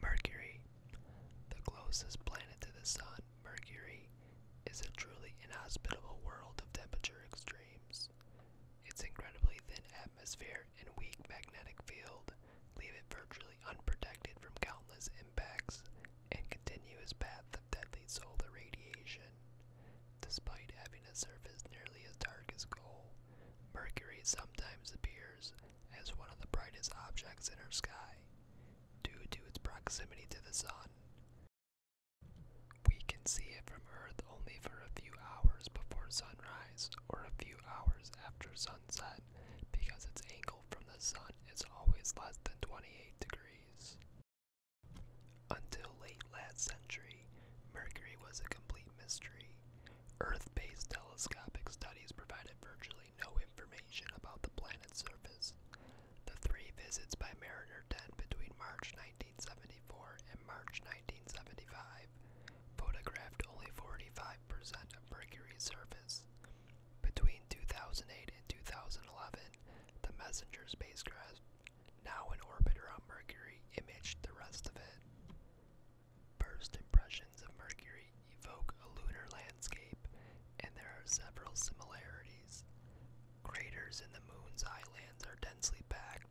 Mercury. The closest planet to the Sun, Mercury, is a truly inhospitable world of temperature extremes. Its incredibly thin atmosphere and weak magnetic field leave it virtually unprotected from countless impacts and continuous path of deadly solar radiation. Despite having a surface nearly as dark as coal, Mercury sometimes appears as one of the brightest objects in our sky due to its proximity to the sun. We can see it from Earth only for a few hours before sunrise or a few hours after sunset because its angle from the sun is always less than 28 degrees. Until late last century, Mercury was a complete mystery, Earth-based telescopic studies provided virtually no information about the planet's surface. The three visits by Mariner 10 between March 1974 and March 1975 photographed only 45% of Mercury's surface. Between 2008 and 2011, the MESSENGER spacecraft, now in orbit around Mercury, imaged the rest of it. First impressions of Mercury evoke a lunar landscape, and there are several similarities. Craters in the moon's islands are densely packed,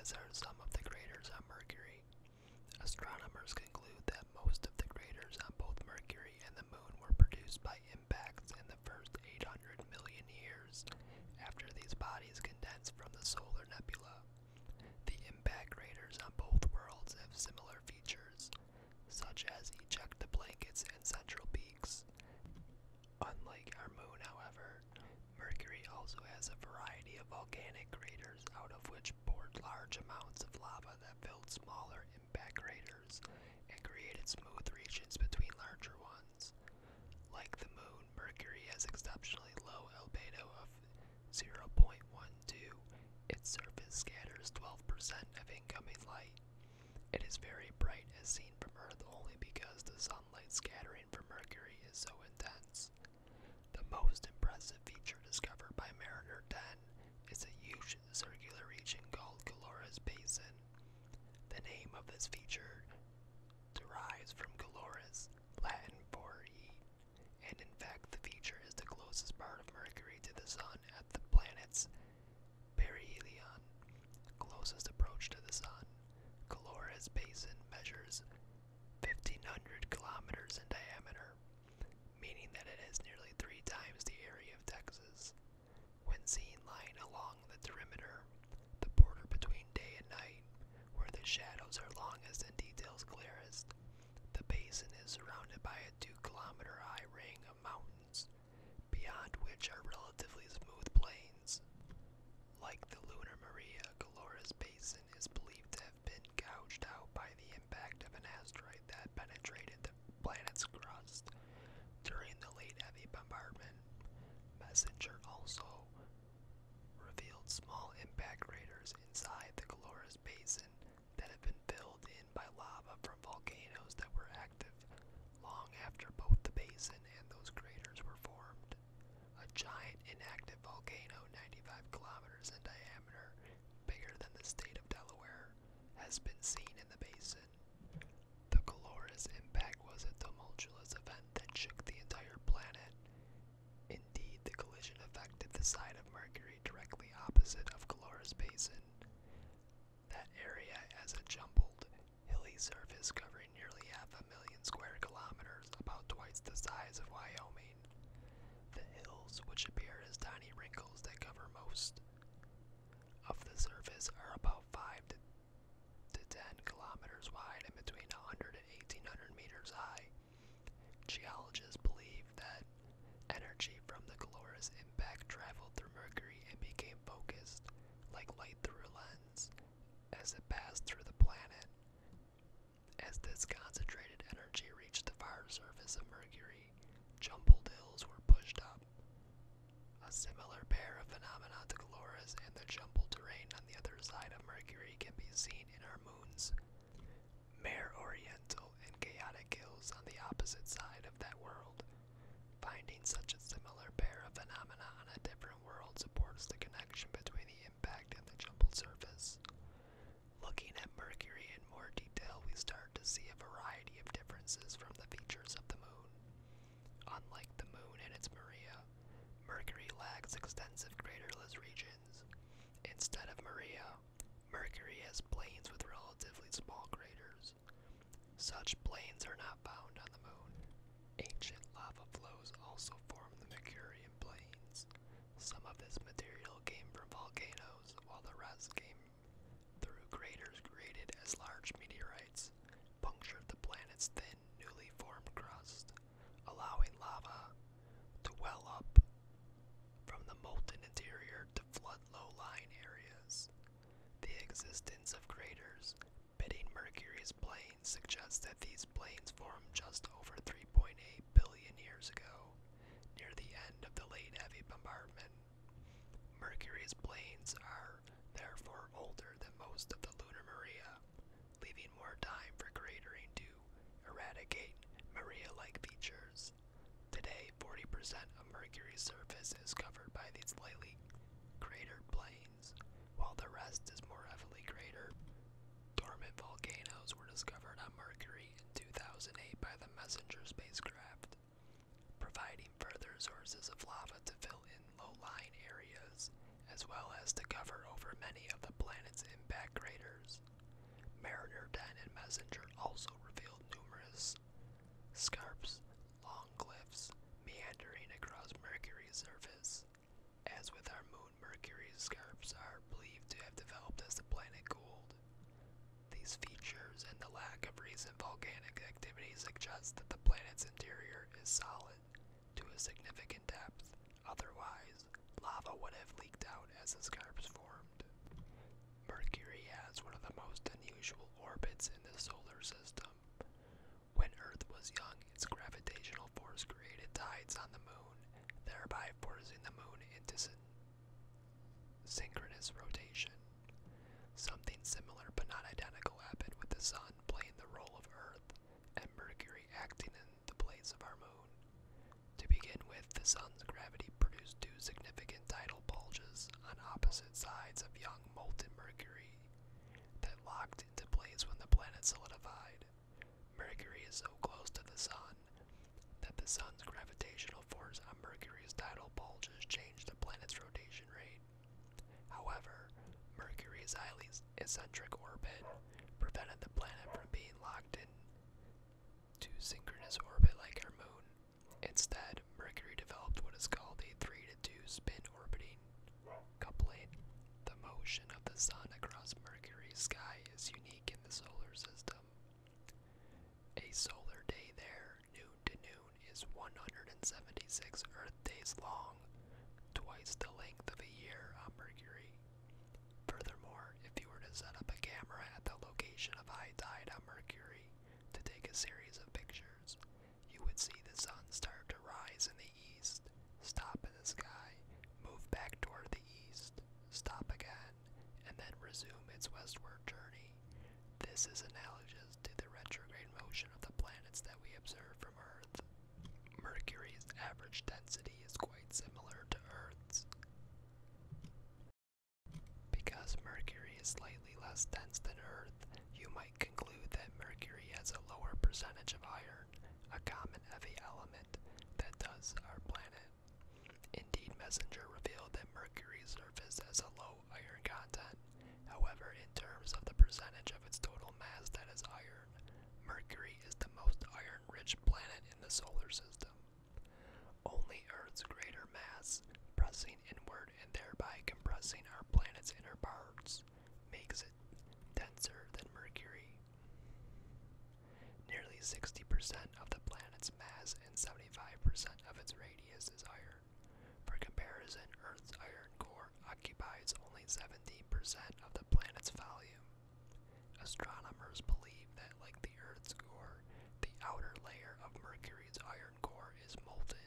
as are some of the craters on Mercury. Astronomers conclude that most of the craters on both Mercury and the moon were produced by impacts in the first 800 million years after these bodies condensed from the solar nebula. The impact craters on both worlds have similar features, such as ejecta blankets and central peaks. Unlike our moon, however, Mercury also has a variety of volcanic craters out of which poured large amounts of lava that filled smaller impact craters and created smooth regions between larger ones. Like the moon, Mercury has exceptionally low albedo of 0.12. Its surface scatters 12% of incoming light. It is very bright as seen from Earth only because the sunlight scattering from Mercury is so intense. The most impressive feature discovered by Mariner 10 is a huge circular region called Calora's Basin. The name of this feature derives from Calora's Latin for heat, and in fact, the feature is the closest part of Mercury to the Sun at the planet's perihelion, closest approach to the Sun. Colores Basin measures 1,500 kilometers in diameter, meaning that it is nearly three times the area of Texas. When seen lying along the perimeter, the border between day and night, where the shadows are longest and details clearest. The basin is surrounded by a two kilometer high ring of mountains, beyond which are relatively smooth plains. Like the Lunar Maria, Caloras Basin is believed to have been gouged out by the impact of an asteroid that penetrated the planet's crust during the late heavy bombardment. Messenger also revealed small impact craters inside the Caloras Basin that have been filled in by lava from volcanoes that were active long after both the basin and those craters were formed. A giant inactive volcano 95 kilometers in diameter, bigger than the state of Delaware, has been seen in the basin. The Calorus impact was a tumultuous event that shook the entire planet. Indeed, the collision affected the side of Mercury directly opposite of Calorus Basin. That area has a jumbled, hilly surface covering nearly half a million square kilometers, about twice the size of Wyoming. The hills, which appear as tiny wrinkles that cover most of the surface, are about 5 to to 10 kilometers wide and between 100 and 1800 meters high. Geologists believe that energy from the Galoris impact traveled through Mercury and became focused, like light through a lens, as it passed through the planet. As this concentrated energy reached the far surface of Mercury, jumbled hills were pushed up. A similar pair of phenomena to Galora's and the jumbled terrain on the other side of Mercury can be seen in our moons. Mare Oriental and Chaotic Hills on the opposite side of that world. Finding such a similar pair of phenomena on a different world supports the connection between the impact and the jumbled surface. Looking at Mercury in more detail, we start to see a variety of differences from the features of the moon. Unlike the Moon and its Maria, Mercury lacks extensive craterless regions. Instead of Maria, Mercury has plains with relatively small craters. Such plains are not found on the Moon. Ancient lava flows also formed the Mercurian plains. Some of this material came from volcanoes, while the rest came through craters created as large meteorites punctured the planet's thin, newly formed crust, allowing lava to well up from the molten interior to flood low-lying areas. The existence of craters pitting Mercury's plains suggests that these plains formed just over 3.8 billion years ago, near the end of the late heavy bombardment. Mercury's plains are therefore older than most of the lunar Maria, leaving more time for cratering to eradicate Maria-like features. Today, 40% of Mercury's surface is covered by these lightly cratered plains, while the rest is more heavily cratered. Dormant volcanoes were discovered on Mercury in 2008 by the MESSENGER spacecraft providing further sources of lava to fill in low-lying areas, as well as to cover over many of the planet's impact craters. Mariner 10 and Messenger also revealed numerous scarps, long cliffs, meandering across Mercury's surface. As with our moon, Mercury's scarps are believed to have developed as the planet cooled. These features and the lack of recent volcanic activity suggest that the planet's interior is solid to a significant depth. Otherwise, lava would have leaked out as the scarps formed. Mercury has one of the most unusual orbits in the solar system. When Earth was young, its gravitational force created tides on the moon, thereby forcing the moon into synchronous rotation. Something similar but not identical happened with the Sun playing the role of Earth and Mercury acting in the place of our Moon. To begin with, the Sun's gravity produced two significant tidal bulges on opposite sides of young molten Mercury that locked into place when the planet solidified. Mercury is so close to the Sun that the sun's gravitational force on Mercury's tidal bulges changed the planet's rotation rate. However, Mercury's highly eccentric orbit prevented the planet from being locked in to synchronous orbit like our moon. Instead, Mercury developed what is called a 3 to 2 spin orbiting. Coupling the motion of the sun across Mercury's sky is unique in the solar system. A solar day there, noon to noon, is 176 Earth days long, twice the length of a year on uh, Mercury. Furthermore, if you were to set up a camera at the location of high tide on uh, Mercury to take a series of pictures, you would see the sun start to rise in the east, stop in the sky, move back toward the east, stop again, and then resume its westward journey. This is analogous to the retrograde motion of the planets that we observe from Earth. Mercury's average density is quite similar to Earth's. Because Mercury is slightly less dense than Earth, you might conclude that Mercury has a lower percentage of iron, a common heavy element that does our planet Indeed Messenger revealed that Mercury's surface has a low iron content. However, in terms of the percentage of its total mass that is iron, Mercury is the most iron-rich planet in the solar system. Only Earth's greater mass, pressing inward and thereby compressing our planet's inner parts, makes it denser than Mercury. Nearly 60% of the planet's mass and 75% of its radius is iron. For comparison, Earth's iron core occupies only 17% of the planet's volume. Astronomers believe that, like the Earth's core, the outer layer of Mercury's iron core is molten.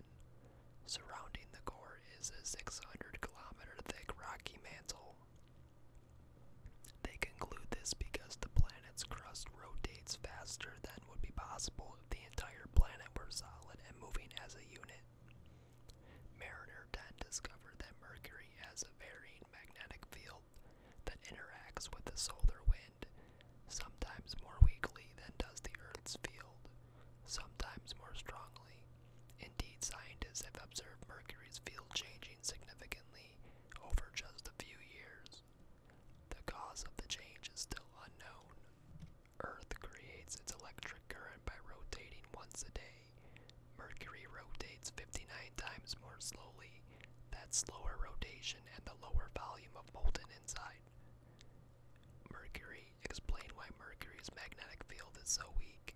Surrounding the core is a 600 kilometer thick rocky mantle, they conclude this because the planet's crust rotates faster than would be possible if the entire planet were solid and moving as a unit. Mariner 10 discovered that Mercury has a varying magnetic field that interacts with the solar wind, sometimes more weakly than does the Earth's field, sometimes more strongly. Indeed, scientists have observed Mercury's field changing significantly over just a few years. The cause of the change is still unknown. Earth creates its electric current by rotating once a day. Mercury rotates 59 times more slowly. That slower rotation and the lower volume of molten inside. Mercury explain why Mercury's magnetic field is so weak.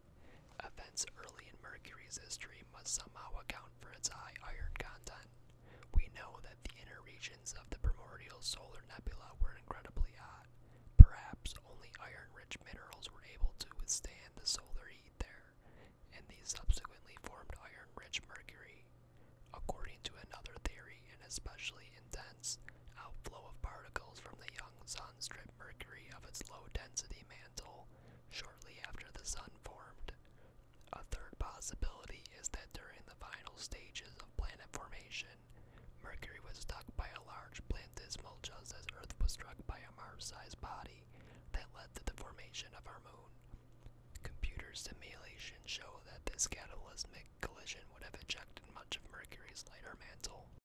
Events early in Mercury's history must somehow account for its high iron content. We know that the inner regions of the primordial solar nebula were incredibly hot. Perhaps only iron rich minerals were able to withstand the solar heat there, and these subsequently formed iron rich mercury. According to another theory, an especially intense outflow of particles from the young sun stripped strip Mercury of its low density mantle shortly after the Sun formed. A third possibility is that during the final stages of planet formation, Mercury was struck by a large planetesimal just as Earth was struck by a Mars sized body that led to the formation of our moon. Computer simulations show that this cataclysmic collision would have ejected much of Mercury's lighter mantle.